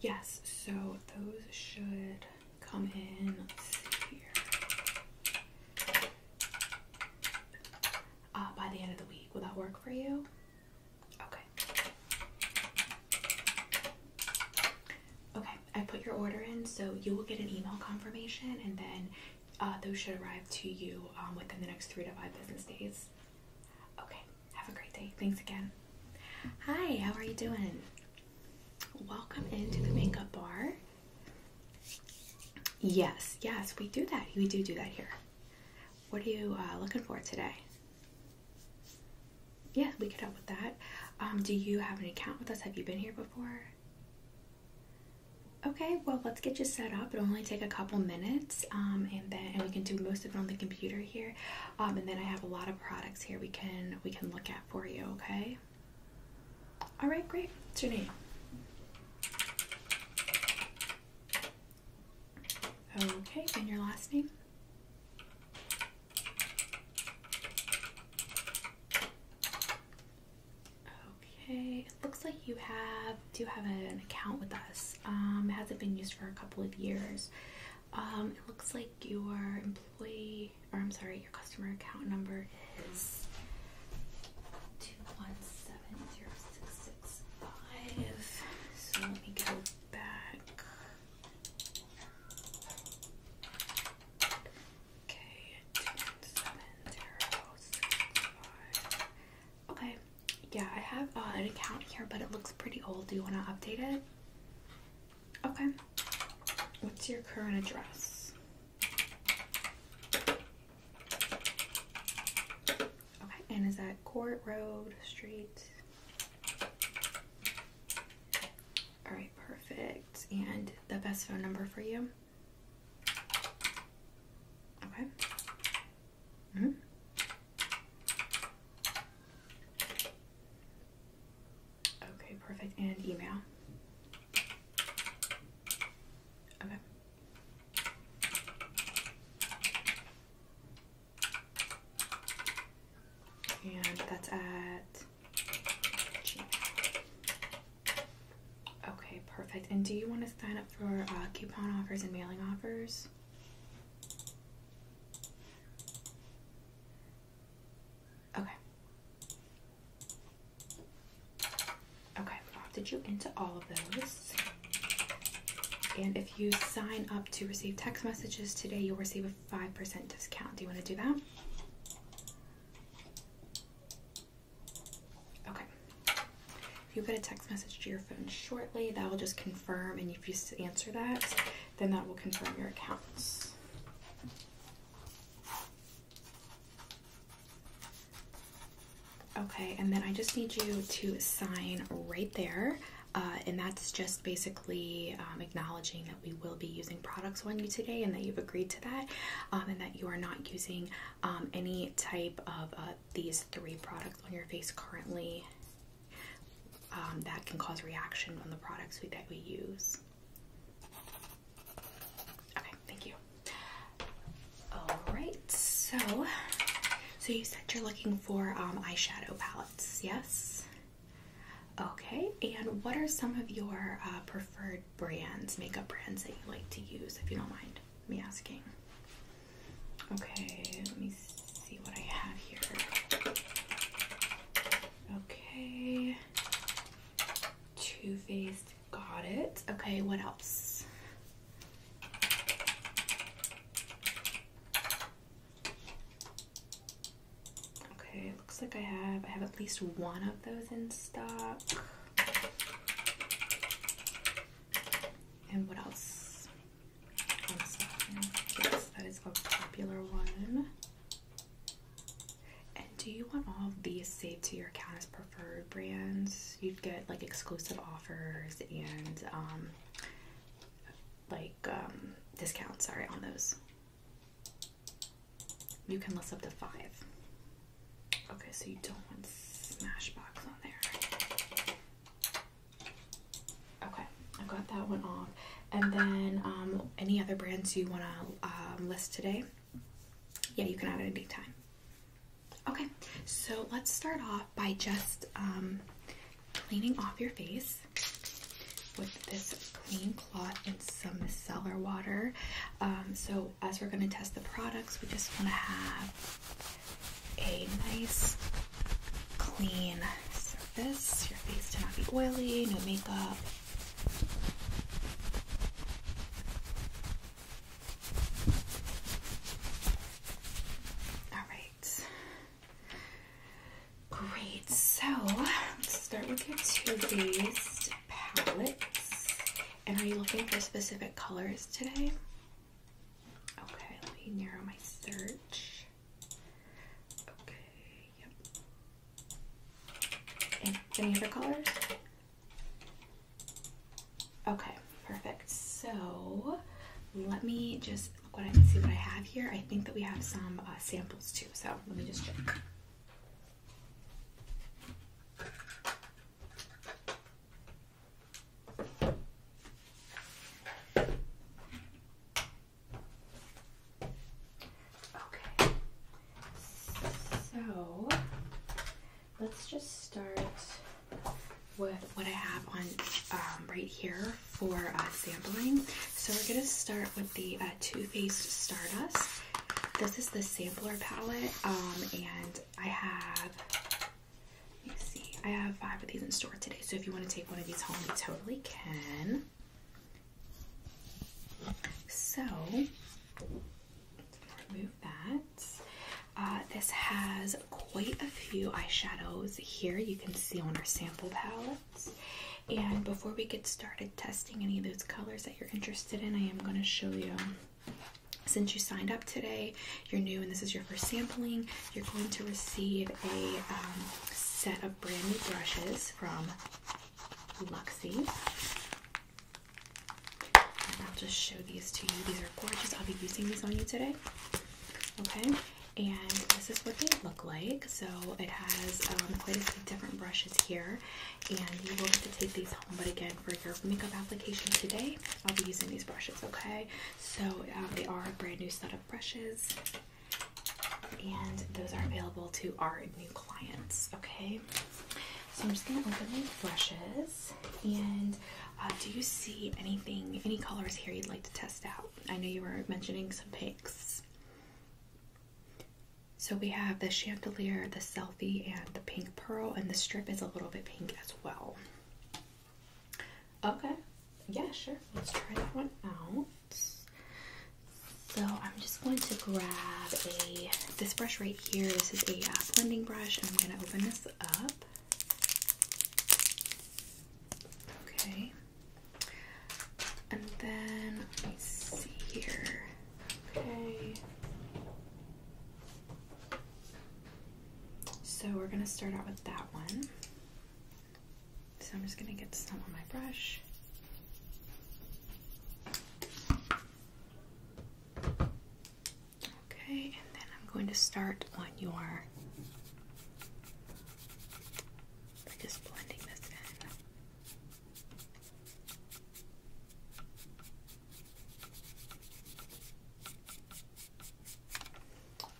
Yes, so those should come in. Uh, by the end of the week. Will that work for you? Okay. Okay, I put your order in, so you will get an email confirmation and then uh, those should arrive to you um, within the next three to five business days. Okay, have a great day. Thanks again. Hi, how are you doing? Welcome into the makeup bar. Yes, yes, we do that. We do do that here. What are you uh, looking for today? Yeah, we could help with that. Um, do you have an account with us? Have you been here before? Okay, well, let's get you set up. It'll only take a couple minutes, um, and then and we can do most of it on the computer here um, and then I have a lot of products here we can we can look at for you. Okay. All right, great. What's your name? Okay, and your last name? Okay, it looks like you have do have an account with us. Um, it hasn't been used for a couple of years. Um, it looks like your employee, or I'm sorry, your customer account number is two one seven zero six six five. So let me go back. Okay, two seven zero six five. Okay, yeah, I have uh, an account here, but it looks pretty old. Do you want to update it? Okay. What's your current address? Okay, and is that Court Road Street? All right, perfect. And the best phone number for you? Okay. -hmm. Okay, perfect. And email. Okay. And that's at Okay, perfect. And do you want to sign up for uh, coupon offers and mailing offers? Okay. Okay, i have to you into all of those. And if you sign up to receive text messages today, you'll receive a 5% discount. Do you want to do that? Okay. If you get a text message to your phone shortly, that will just confirm. And if you answer that, then that will confirm your accounts. Okay, and then I just need you to sign right there. Uh, and that's just basically um, acknowledging that we will be using products on you today and that you've agreed to that um, and that you are not using um, any type of uh, these three products on your face currently um, that can cause reaction on the products that we use. Okay, thank you. All right, so so you said you're looking for um, eyeshadow palettes, yes? Okay, and what are some of your uh, preferred brands, makeup brands that you like to use, if you don't mind me asking? Okay, let me see what I have here. Okay. Too Faced, got it. Okay, what else? Okay, looks like I have I have at least one of those in stock. And what else? That is a popular one. And do you want all of these saved to your account as preferred brands? You'd get like exclusive offers and um, like um, discounts, sorry, on those. You can list up to five. Okay, so you don't want Smashbox on there. Okay, I got that one off. And then um, any other brands you want to um, list today? Yeah, you can add it at any time. Okay, so let's start off by just um, cleaning off your face with this clean cloth and some micellar water. so as we're going to test the products, we just want to have a nice clean surface. Your face to not be oily, no makeup. All right. Great. So let's start with your two-based palettes. And are you looking for specific colors today? Okay, let me narrow my search. Okay, yep. Any, other colors? Okay, perfect. So let me just look what I see what I have here. I think that we have some uh, samples too, so let me just check. Okay, so let's just start with what I have on um, right here for uh, sampling. So we're going to start with the uh, Too Faced Stardust. This is the sampler palette, um, and I have, let me see, I have five of these in store today. So if you want to take one of these home, you totally can. So remove that. Uh, this has quite a few eyeshadows here you can see on our sample palettes. And before we get started testing any of those colors that you're interested in, I am going to show you since you signed up today, you're new and this is your first sampling, you're going to receive a um, set of brand new brushes from Luxie. And I'll just show these to you. These are gorgeous. I'll be using these on you today. Okay, and this is what they look like. So it has um, quite a few different brushes here, and you will have to take these home. But again, for your makeup application today, I'll be using these brushes. Okay, so um, they are a brand new set of brushes and those are available to our new clients. Okay, so I'm just gonna open my brushes. And uh, do you see anything, any colors here you'd like to test out? I know you were mentioning some pinks. So we have the chandelier, the selfie, and the pink pearl, and the strip is a little bit pink as well. Okay, yeah, sure. Let's try that one out. So I'm just going to grab a this brush right here. This is a uh, blending brush, and I'm going to open this up. Okay. And then let me see here. Okay. So we're going to start out with that one. So I'm just going to get some on my brush. Okay, and then I'm going to start on your. just blending this in.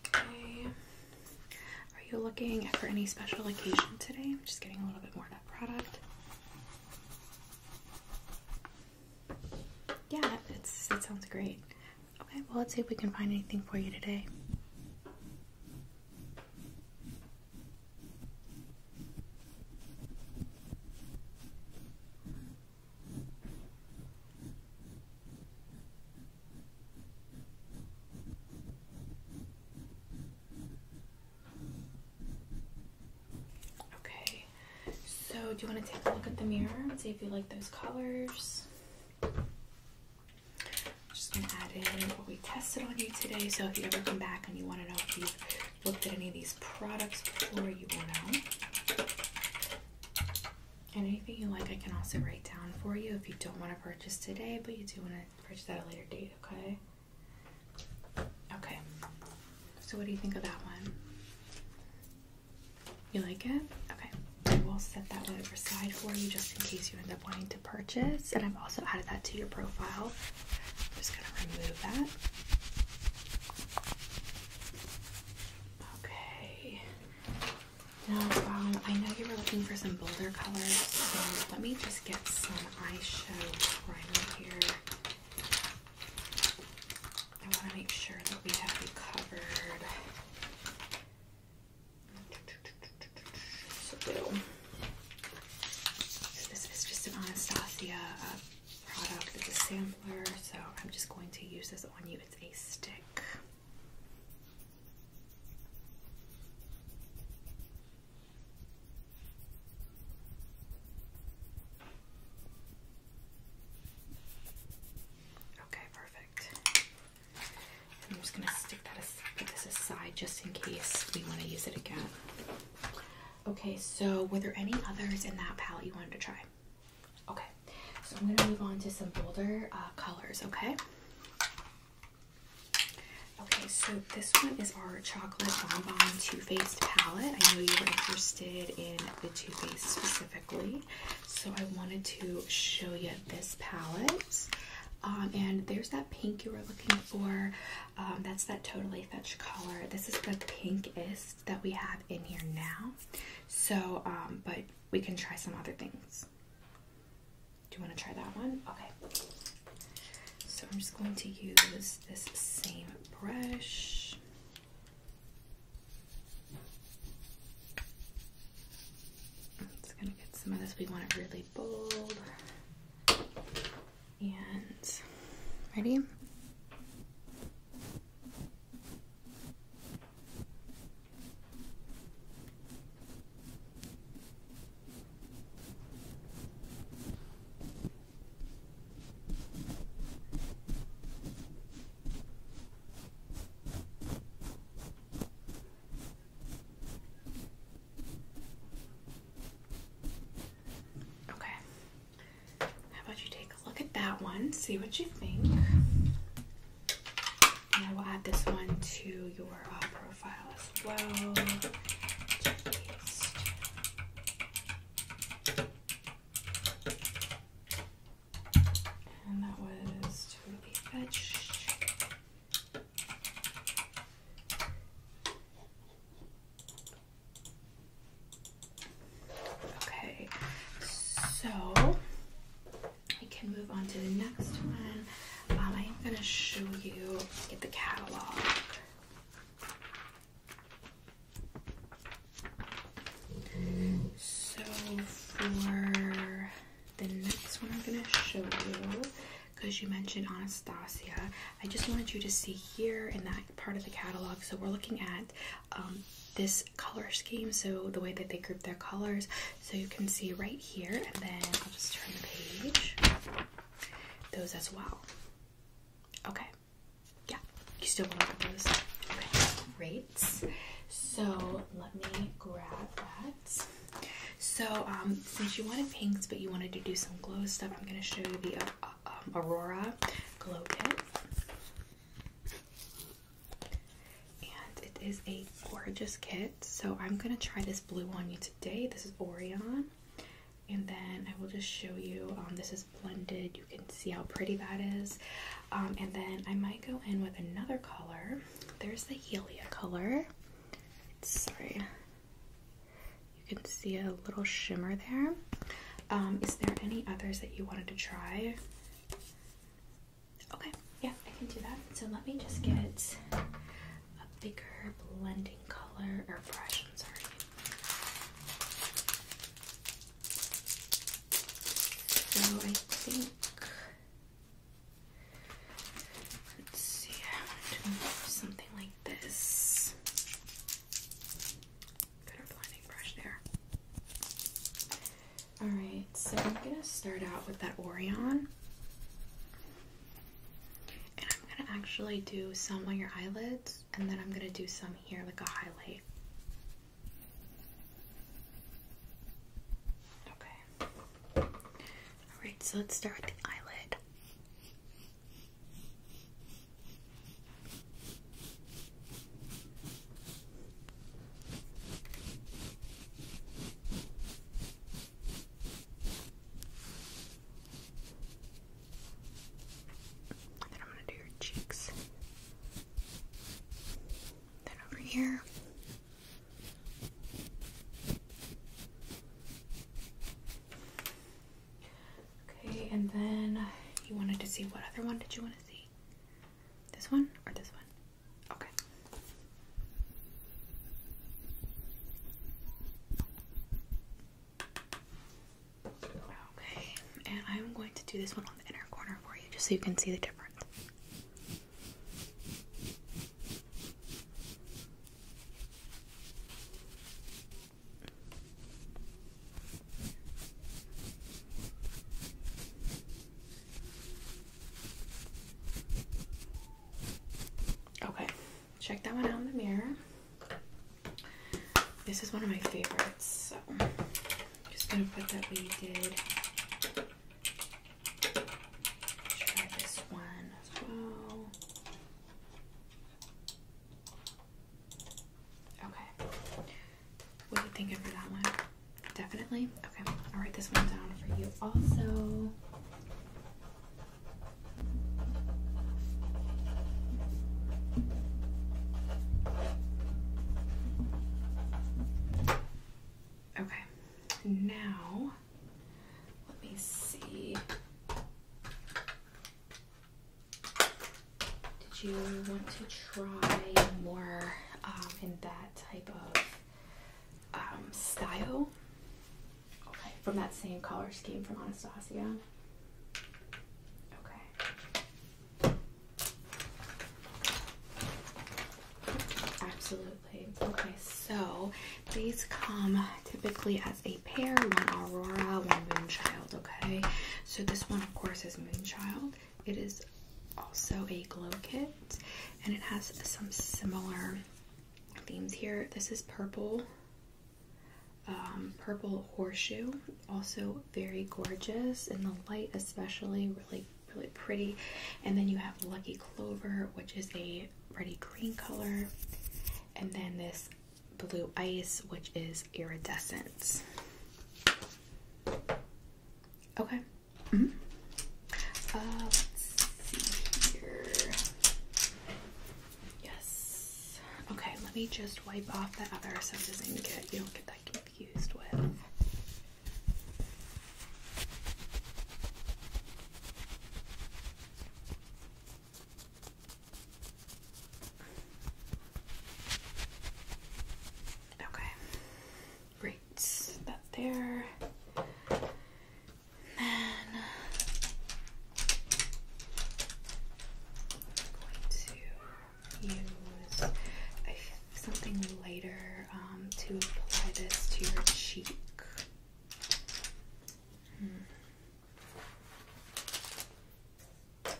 Okay. Are you looking for any special occasion today? I'm just getting a little bit more of that product. Yeah, it's it sounds great. Okay, well let's see if we can find anything for you today. Okay, so do you want to take a look at the mirror and see if you like those colors? I'm just going to add in what we tested on you today. So if you ever come back and you want to know if you've looked at any of these products before, you will know. anything you like, I can also write down for you if you don't want to purchase today, but you do want to purchase at a later date, okay? Okay. So what do you think of that one? You like it? Okay. I will set that one aside for you just in case you end up wanting to purchase. And I've also added that to your profile. just gonna remove that. Okay. Now, um, I know you were looking for some bolder colors, so let me just get some eyeshadow primer here. I want to make sure that we have you covered. So this is just an Anastasia uh, product. It's a sampler, so I'm just going to use this on you. It's a stick. Okay, perfect. I'm just gonna stick that as this aside just in case we want to use it again. Okay, so were there any others in that palette you wanted to try? Okay, so I'm gonna move on to some bolder uh, colors. Okay. Okay, so this one is our Chocolate Bonbon Too Faced palette. I know you were interested in the Too Faced specifically, so I wanted to show you this palette. Um, and there's that pink you were looking for. Um, that's that Totally Fetch color. This is the pinkest that we have in here now. So, um, but we can try some other things. Do you want to try that one? Okay. So I'm just going to use this same brush. I'm just going to get some of this. We want it really bold. And ready? Okay. How about you take a look at that one, see what you think? And I will add this one to your uh, profile as well. and that was totally fetched. Okay, so we can move on to the next one. Um, I am going to show you get the catalog. So for the next one, I'm going to show you because you mentioned Anastasia. I just wanted you to see here in that part of the catalog. So we're looking at um, this color scheme, so the way that they group their colors. So you can see right here, and then I'll just turn the page. Those as well. Okay. Yeah. You still want to look those? Great. So let me grab that. So um, since you wanted pinks, but you wanted to do some glow stuff, I'm going to show you the uh, uh, um, Aurora Glow Kit. And it is a gorgeous kit. So I'm going to try this blue on you today. This is Orion. And then I will just show you, um, this is blended. You can see how pretty that is. Um, and then I might go in with another color. There's the Helia color. sorry. You can see a little shimmer there. Um, is there any others that you wanted to try? Okay, yeah. I can do that. So let me just get a bigger blending color or brush. I'm sorry. So I think. Let's see. I want to move something like this. Got blending brush there. All right. So I'm gonna start out with that Orion. And I'm gonna actually do some on your eyelids and then I'm gonna do some here like a highlight. Okay. Alright, so let's start with the eyelid then I'm going to do your cheeks. Then over here. Okay, and then you wanted to see what other one did you want to see? This one or this one? Okay. Okay, and I'm going to do this one on the inner corner for you just so you can see the difference. Okay, check that one out in the mirror. This is one of my favorites, so I'm just gonna put that we did. Try this one as well. Okay. What are you thinking for that one? Definitely? Okay, I'll write this one down for you also. Okay, now let me see. Did you want to try more um, in that type of um, style okay, from that same color scheme from Anastasia. Okay. Absolutely. Okay, so these come typically as a pair, one Aurora, one Moonchild, okay? So this one, of course, is Moonchild. It is also a glow kit and it has some similar themes here. This is purple, um, purple horseshoe, also very gorgeous, and the light especially really really pretty. And then you have Lucky Clover, which is a pretty green color, and then this blue ice, which is iridescent. Okay. Mm-hmm. Uh, let's see here. Yes. Okay, let me just wipe off the other so it doesn't get you don't get that confused with. Okay. Great. That's there. I'm going to use something lighter um, to apply this to your cheek. Hmm. I'm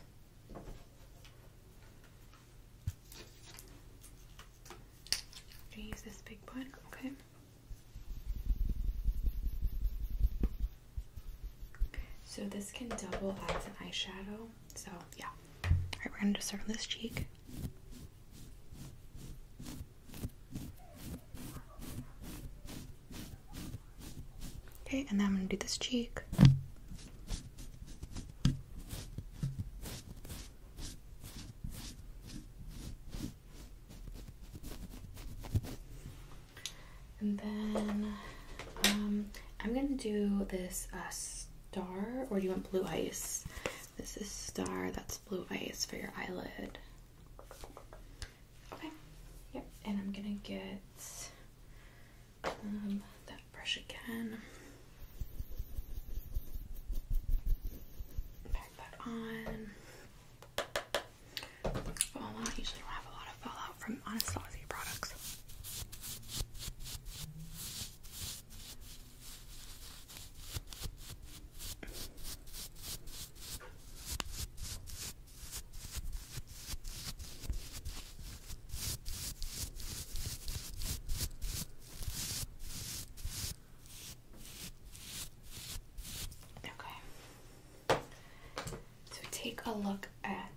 going to use this big one, okay? So this can double as an eyeshadow. So yeah. Alright, we're gonna just start on this cheek. Okay, and then I'm gonna do this cheek. And then um, I'm gonna do this uh, star, or do you want blue ice? This is star, that's blue ice for your eyelid. Okay, yep, and I'm gonna get um, that brush again. Pack that on fallout. Usually don't have a lot of fallout from Anastasia products. Okay. So take a look at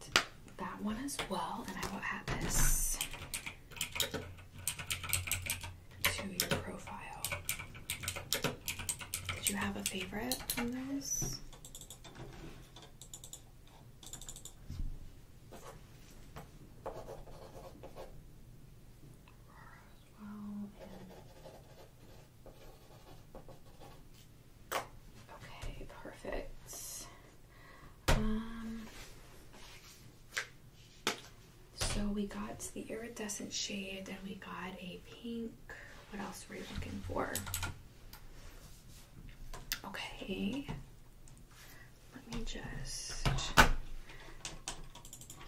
that one as well, and I will add this to your profile. Did you have a favorite from those? Aurora as well, Okay, perfect. Um, so we got the iridescent shade and we got a pink. What else were you looking for? Okay, let me just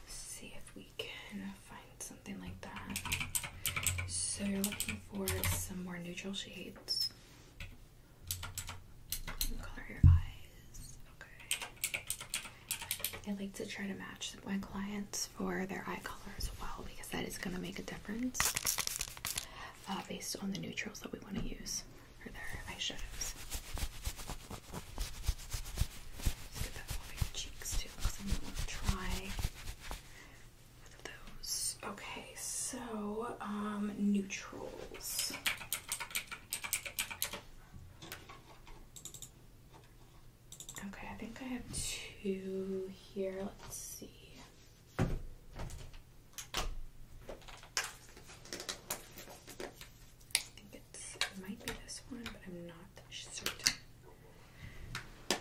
see if we can find something like that. So you're looking for some more neutral shades. Color your eyes. Okay. I like to try to match my clients for their eye color as well because that is going to make a difference uh, based on the neutrals that we want to use for their eye shadows cheeks too, because I'm those. Okay, so um, neutrals. Okay, I think I have two here. Let's see. I think it's, might be this one, but I'm not certain. That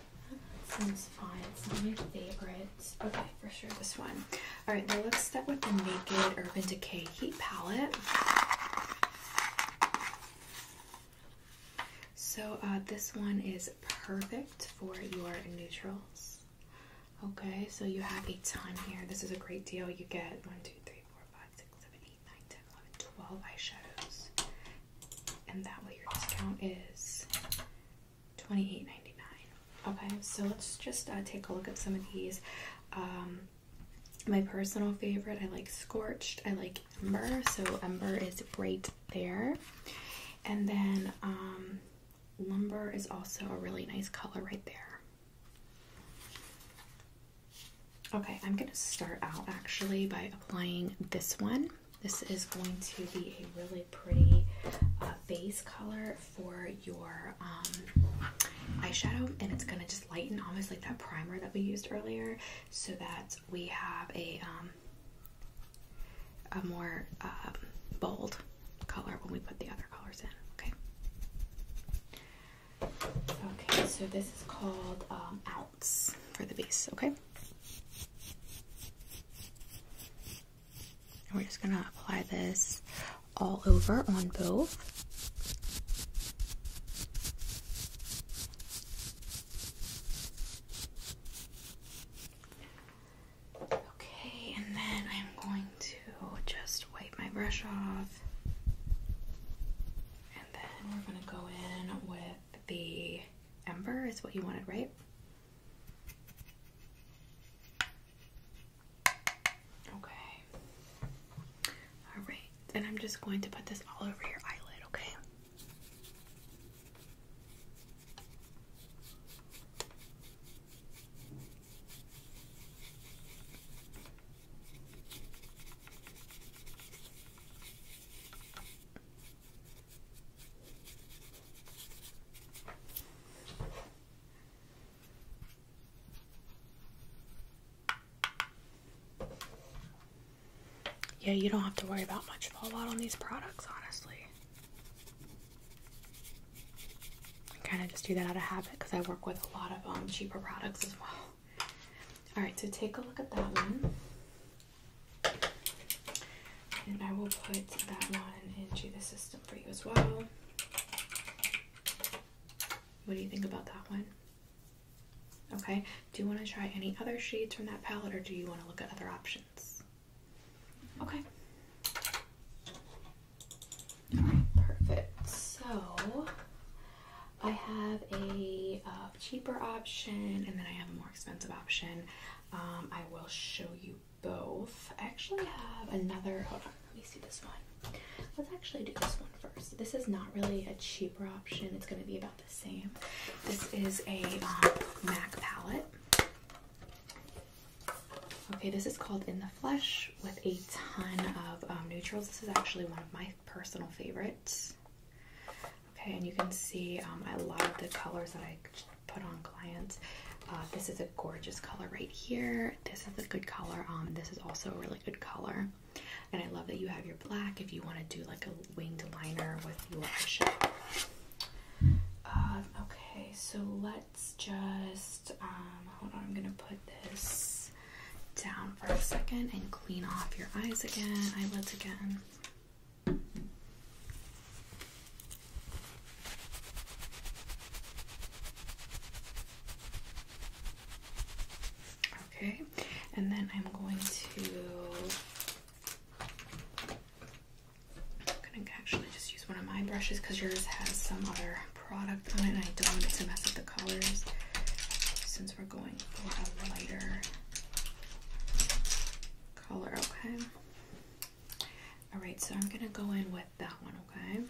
seems fine. It's not my favorite. Okay, for sure this one. All right, now let's start with the Naked Urban Decay Heat Palette. So uh, this one is perfect for your neutrals. Okay, so you have a ton here. This is a great deal. You get one, two, three, four, five, six, seven, 12 eyeshadows. And that way your discount is 28 Okay, so let's just uh, take a look at some of these. Um, my personal favorite, I like Scorched. I like Ember, so Ember is right there. And then um, Lumber is also a really nice color right there. Okay, I'm going to start out actually by applying this one. This is going to be a really pretty uh, base color for your um, eyeshadow, and it's going to just lighten almost like that primer that we used earlier, so that we have a um, a more um, bold color when we put the other colors in. Okay. Okay, so this is called um, for the base, okay? And we're just gonna apply this all over on both. Okay, and then I'm going to just wipe my brush off. And then we're going to go in with the ember is what you wanted, right? Okay. Alright, and I'm just going to put this all over your eyelid, okay? Yeah, you don't have to worry about much fallout on these products, honestly. I kind of just do that out of habit because I work with a lot of um, cheaper products as well. Alright, so take a look at that one. And I will put that one into the system for you as well. What do you think about that one? Okay, do you want to try any other shades from that palette or do you want to look at other options? Okay. perfect. So I have a uh, cheaper option and then I have more expensive option. Um, I will show you both. I actually have another. let me see this one. Let's actually do this one first. This is not really a cheaper option. It's going to be about the same. This is a um, MAC palette. Okay, this is called In the Flesh with a ton of um, neutrals. This is actually one of my personal favorites. Okay, and you can see um, I love the colors that I put on clients. Uh, this is a gorgeous color right here. This is a good color. Um, this is also a really good color. And I love that you have your black if you want to do like a winged liner with your eyeshadow. Um, okay, so let's just, hold on, I'm going to put this down for a second and clean off your eyes again, eyelids again. Okay, and then I'm going to. I'm gonna actually just use one of my brushes because yours has some other product on it, and I don't want it to mess up the colors since we're going for a lighter color, okay? Alright, so I'm gonna go in with that one, okay?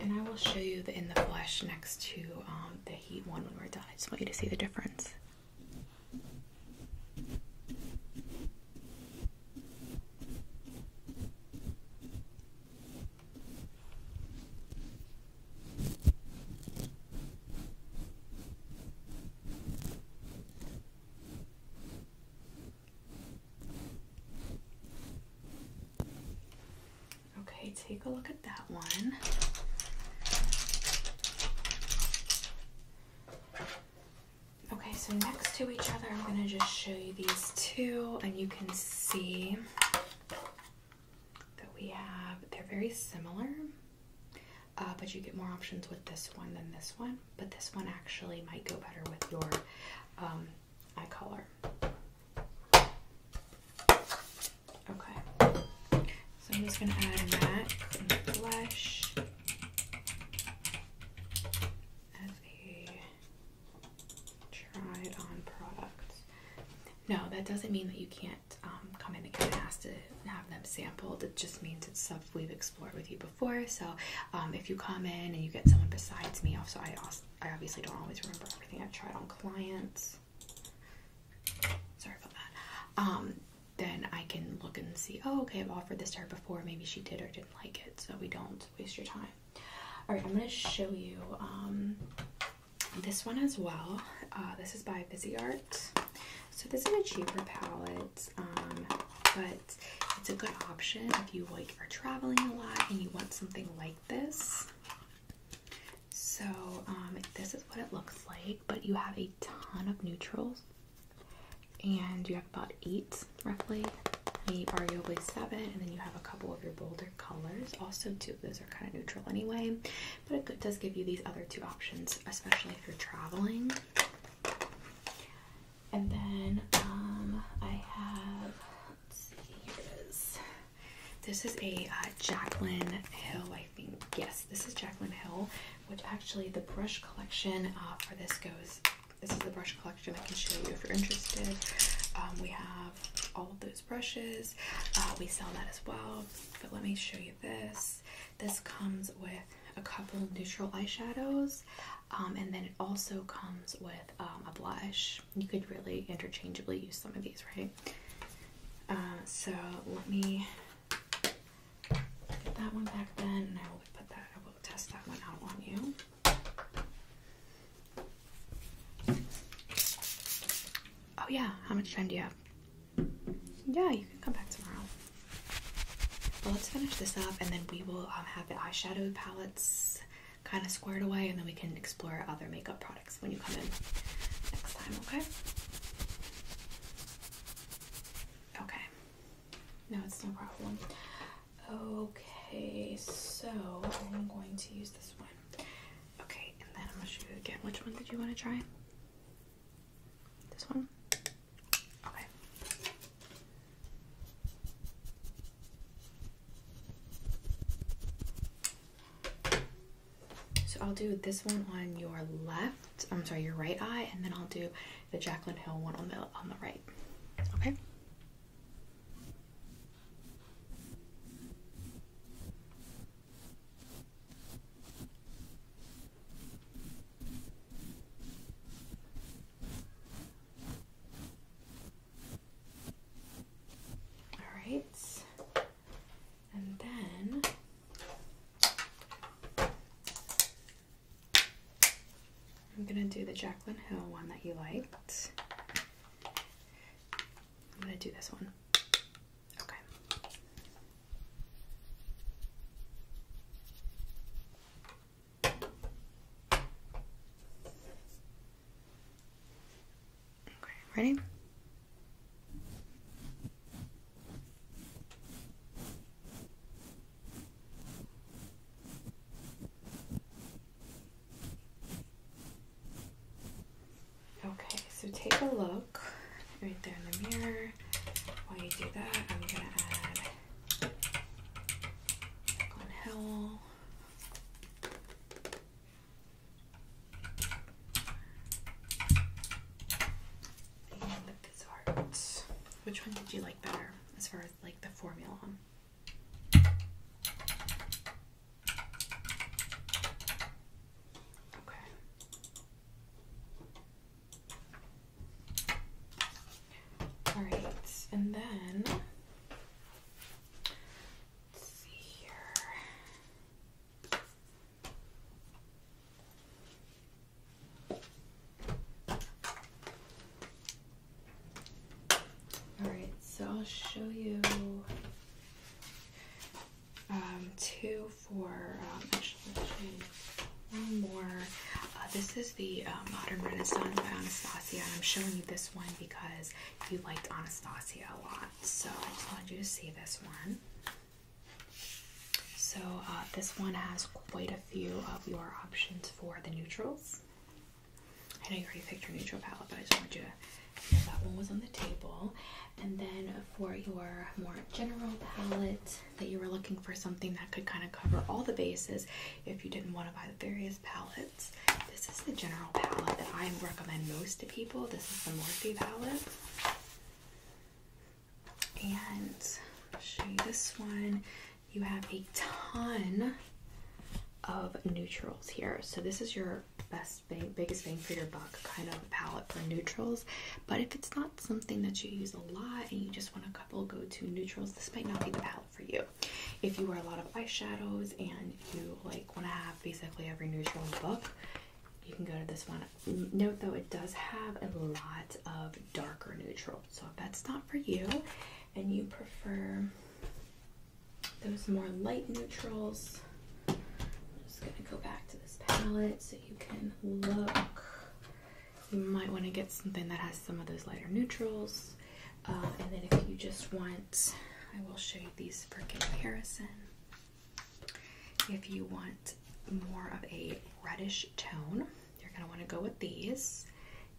And I will show you in the flesh next to um, the heat one when we're done. I just want you to see the difference. Okay, take a look at that one. Okay, so next to each other, I'm going to just show you these two, and you can see that we have, they're very similar, uh, but you get more options with this one than this one. But this one actually might go better with your um, eye color. Okay, so I'm just going to add that blush. As a no, that doesn't mean that you can't um, come in and ask to have them sampled. It just means it's stuff we've explored with you before. So um, if you come in and you get someone besides me, also I I obviously don't always remember everything I've tried on clients. Sorry about that. Um, then I can look and see. Oh, okay, I've offered this to her before. Maybe she did or didn't like it. So we don't waste your time. All right, I'm going to show you um, this one as well. Uh, this is by Busy Art. So this is a cheaper palette, um, but it's a good option if you like are traveling a lot and you want something like this. So um, this is what it looks like, but you have a ton of neutrals and you have about eight roughly. Maybe arguably seven, and then you have a couple of your bolder colors also too. Those are kind of neutral anyway, but it does give you these other two options, especially if you're traveling. And then um, I have. here it is. This is a uh, Jacqueline Hill, I think. Yes, this is Jacqueline Hill, which actually the brush collection uh, for this goes this is the brush collection. I can show you if you're interested. Um, we have all of those brushes. Uh, we sell that as well. But let me show you this. This comes with a couple neutral eyeshadows, um, and then it also comes with um, a blush. You could really interchangeably use some of these, right? Uh, so let me get that one back then, and I will put that. I will test that one out on you. Oh yeah, how much time do you have? Yeah, you can come back tomorrow. But let's finish this up and then we will um, have the eyeshadow palettes kind of squared away and then we can explore other makeup products when you come in next time, okay? Okay. No, it's no problem. Okay, so I'm going to use this one. Okay, and then I'm gonna show you again. Which one did you want to try? This one? Okay. So I'll do this one on your left. I'm sorry, your right eye, and then I'll do the Jacqueline Hill one on the on the right. Okay. All right, and then I'm gonna do the Jacqueline Hill one that you liked. I'm gonna do this one. Okay. ready? Okay, so take a look right there in the mirror. While you do that, I'm gonna add on Howell. And the Bizarre. Which one did you like better as far as like the formula? Okay. All right, and then let's see here. All right, so I'll show you um, two for um, one more. Uh, this is the uh, Modern Renaissance by Anastasia, and I'm showing you this one because you liked Anastasia a lot. So I just wanted you to see this one. So uh, this one has quite a few of your options for the neutrals. I know you already picked your neutral palette, but I just wanted you to know that one was on the table. And then for your more general palette that you were looking for something that could kind of cover all the bases if you didn't want to buy the various palettes. This is the general palette that I recommend most to people. This is the Morphe palette. And show you this one. You have a ton of neutrals here. So this is your best bang, biggest bang for your buck kind of palette for neutrals. But if it's not something that you use a lot and you just want a couple go-to neutrals, this might not be the palette for you. If you wear a lot of eyeshadows and you like want to have basically every neutral in the book, you can go to this one. Note though, it does have a lot of darker neutrals. So if that's not for you and you prefer those more light neutrals. I'm just going to go back to this palette so you can look. You might want to get something that has some of those lighter neutrals. Uh, and then if you just want, I will show you these for comparison. If you want more of a reddish tone, you're going to want to go with these.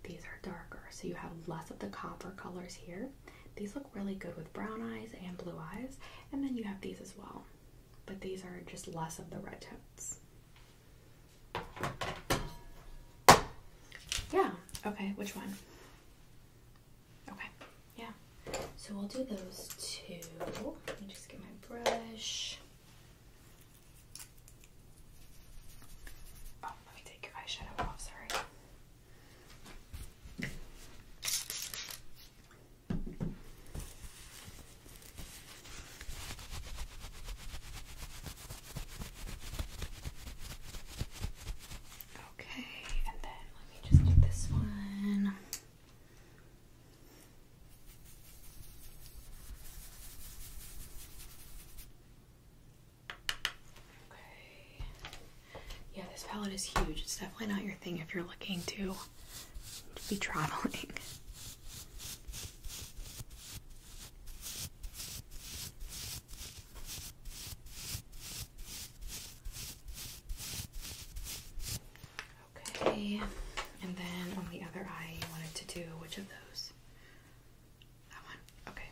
These are darker, so you have less of the copper colors here. These look really good with brown eyes and blue eyes, and then you have these as well. But these are just less of the red tones. Yeah, okay, which one? Okay, yeah. So we'll do those two. Let me just get my brush. Oh, let me take your eyeshadow off, sorry. Okay, and then let me just do this one. Okay. Yeah, this palette is huge. It's definitely not your thing if you're looking to be traveling. Okay, and then on the other eye, you wanted to do which of those? That one? Okay.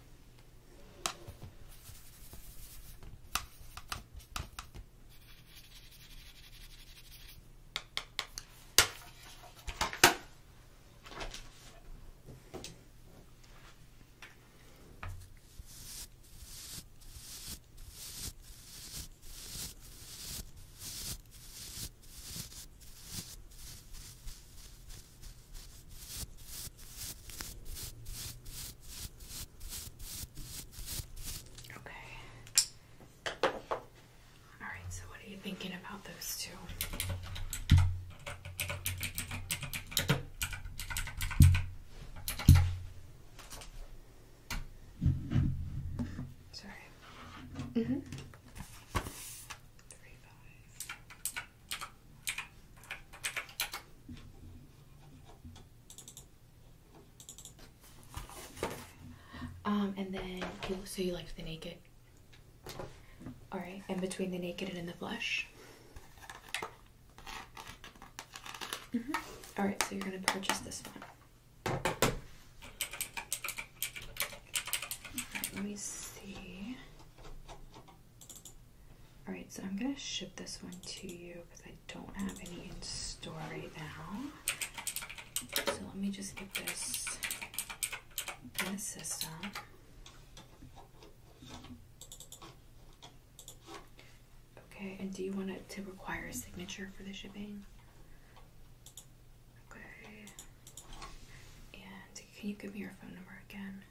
Okay. All right, so what are you thinking about those two? Sorry. Mm-hmm. Three, five. Um, and then, so you liked the naked. All right, and between the naked and in the flesh, Mm -hmm. All right, so you're gonna purchase this one. let me see. All right, so I'm gonna ship this one to you because I don't have any in store right now. So let me just get this in the system. Okay, and do you want it to require a signature for the shipping? Okay. And can you give me your phone number again?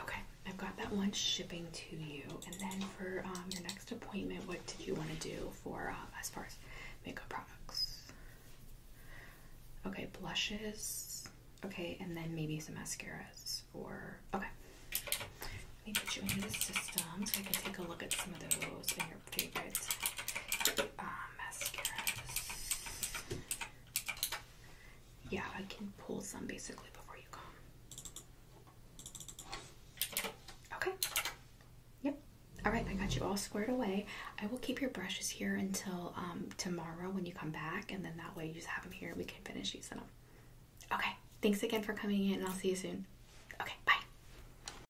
Okay, I've got that one shipping to you. And then for um, your next appointment, what did you want to do for uh, as far as makeup products? Okay, blushes. Okay, and then maybe some mascaras or okay. Let me put you into the system so I can take a look at some of those your uh, mascaras. Yeah, I can pull some basically before you go. Okay. Yep. All right, I got you all squared away. I will keep your brushes here until um, tomorrow when you come back, and then that way you just have them here. We can finish using them. Okay. Thanks again for coming in, and I'll see you soon. Okay, bye.